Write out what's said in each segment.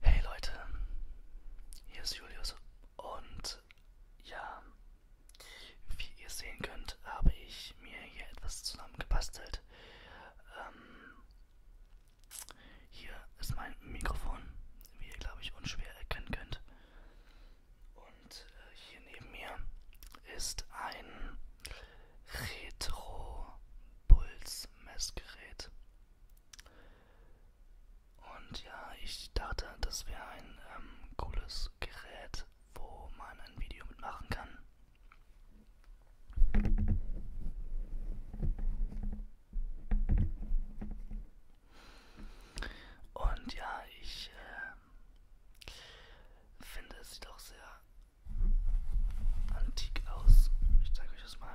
Hey Leute, hier ist Julius und ja, wie ihr sehen könnt, habe ich mir hier etwas zusammengebastelt. Ähm, hier ist mein Mikrofon, wie ihr glaube ich unschwer erkennen könnt. Und äh, hier neben mir ist ein Retro-Puls-Messgerät. Und ja, ich dachte, das wäre ein ähm, cooles Gerät, wo man ein Video mitmachen kann. Und ja, ich äh, finde, es sieht auch sehr antik aus. Ich zeige euch das mal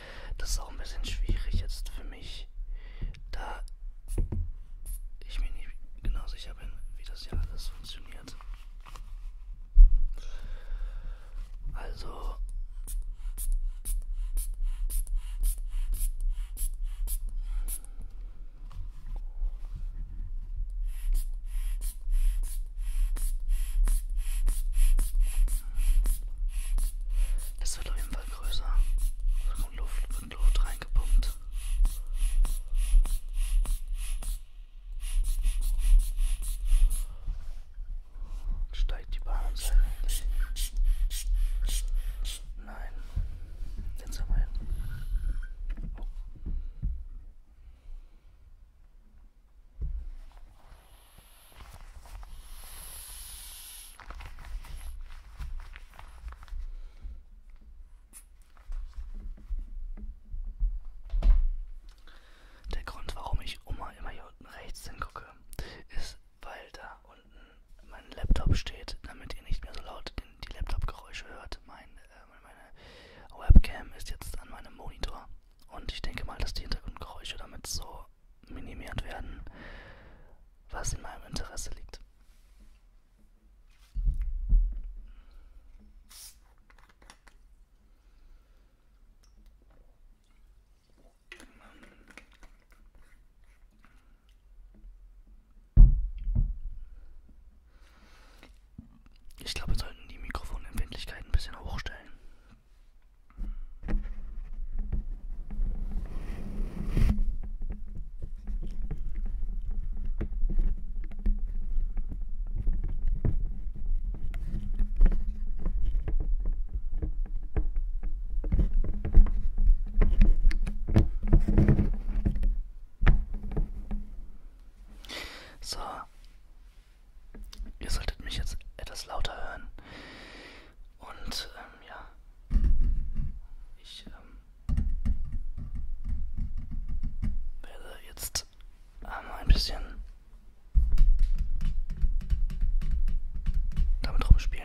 Das ist auch ein bisschen schwierig jetzt für mich, da ich mir nicht genau sicher bin, wie das hier alles funktioniert. Also. Das wird auf jeden Fall wird größer. Da kommt Luft, wird Luft reingepumpt. Und steigt die Bahn und Nein. Jetzt haben wir hin. Oh. Der Grund, warum ich immer, immer hier unten rechts hingucke, ist, weil da unten mein Laptop steht, damit ihr nicht mehr so laut den, die Laptop-Geräusche hört. Mein, äh, meine Webcam ist jetzt an meinem Monitor und ich denke mal, dass die Hintergrundgeräusche damit so minimiert werden was in meinem Interesse liegt. Ich glaube, wir sollten die Mikrofonempfindlichkeit ein bisschen hochstellen. So. Ihr solltet mich jetzt etwas lauter hören. Und ähm, ja, ich ähm, werde jetzt ähm, ein bisschen damit rumspielen.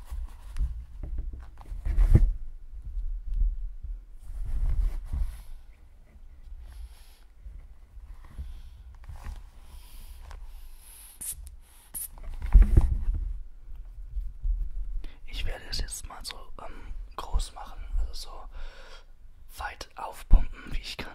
Ich werde es jetzt mal so ähm, groß machen, also so weit aufpumpen, wie ich kann.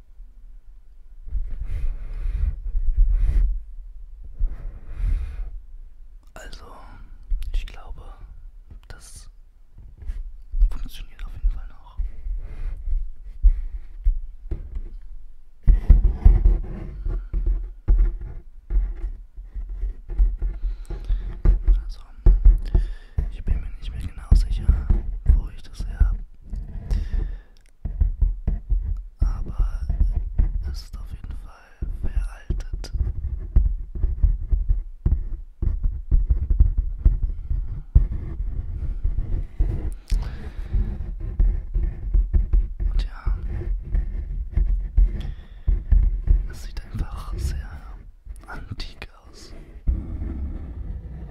Also, ich glaube, das funktioniert auf jeden Fall noch. Also, ich bin mir nicht mehr genau sicher, wo ich das her habe aber es ist auf jeden Fall veraltet. Und ja, es sieht einfach sehr antik aus.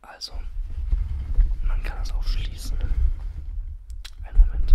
Also, man kann es auch schließen. Einen Moment.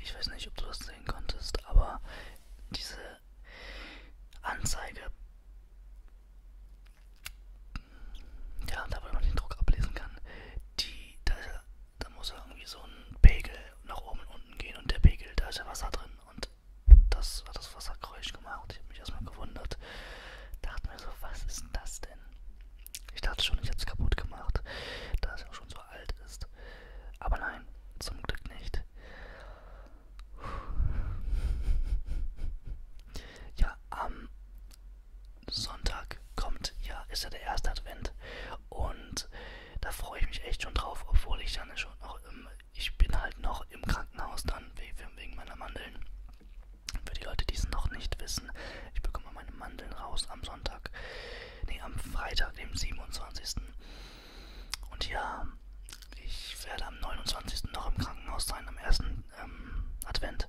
Ich weiß nicht, ob du das sehen konntest, aber diese Anzeige. Ja, da wo man den Druck ablesen kann. Die, da, ja, da muss ja irgendwie so ein Pegel nach oben und unten gehen und der Pegel, da ist ja Wasser drin und das hat das Wassergeräusch gemacht. Ich habe mich erstmal gewundert. Dachte mir so, was ist denn das denn? Ich dachte schon, ich habe es kaputt gemacht, da es ja schon so alt ist. Aber nein, zum Glück nicht. Ja, am Sonntag kommt, ja, ist ja der erste Advent. Und da freue ich mich echt schon drauf, obwohl ich dann schon noch im, ich bin halt noch im Krankenhaus dann wegen meiner Mandeln. Für die Leute, die es noch nicht wissen, ich bekomme meine Mandeln raus am Sonntag. Nee, am Freitag, dem 27. Und ja, ich werde am 29. noch im Krankenhaus sein, am ersten ähm, Advent.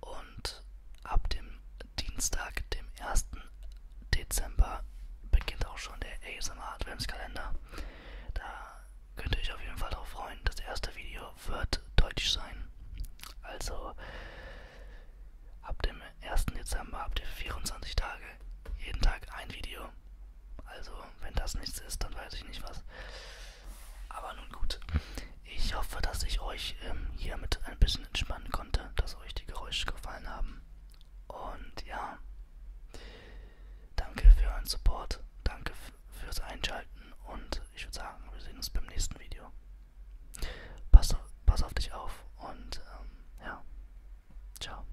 Und ab dem Dienstag, dem 1. Dezember, beginnt auch schon der ASMR Adventskalender. Da könnt ihr euch auf jeden Fall darauf freuen. Das erste Video wird deutsch sein. Also ab dem 1. Dezember habt ihr 24 Tage, jeden Tag ein Video. Also, wenn das nichts ist, dann weiß ich nicht was. Aber nun gut. Ich hoffe, dass ich euch ähm, hiermit ein bisschen entspannen konnte, dass euch die Geräusche gefallen haben. Und ja, danke für euren Support, danke fürs Einschalten und ich würde sagen, wir sehen uns beim nächsten Video. Pass auf, pass auf dich auf und ähm, ja, ciao.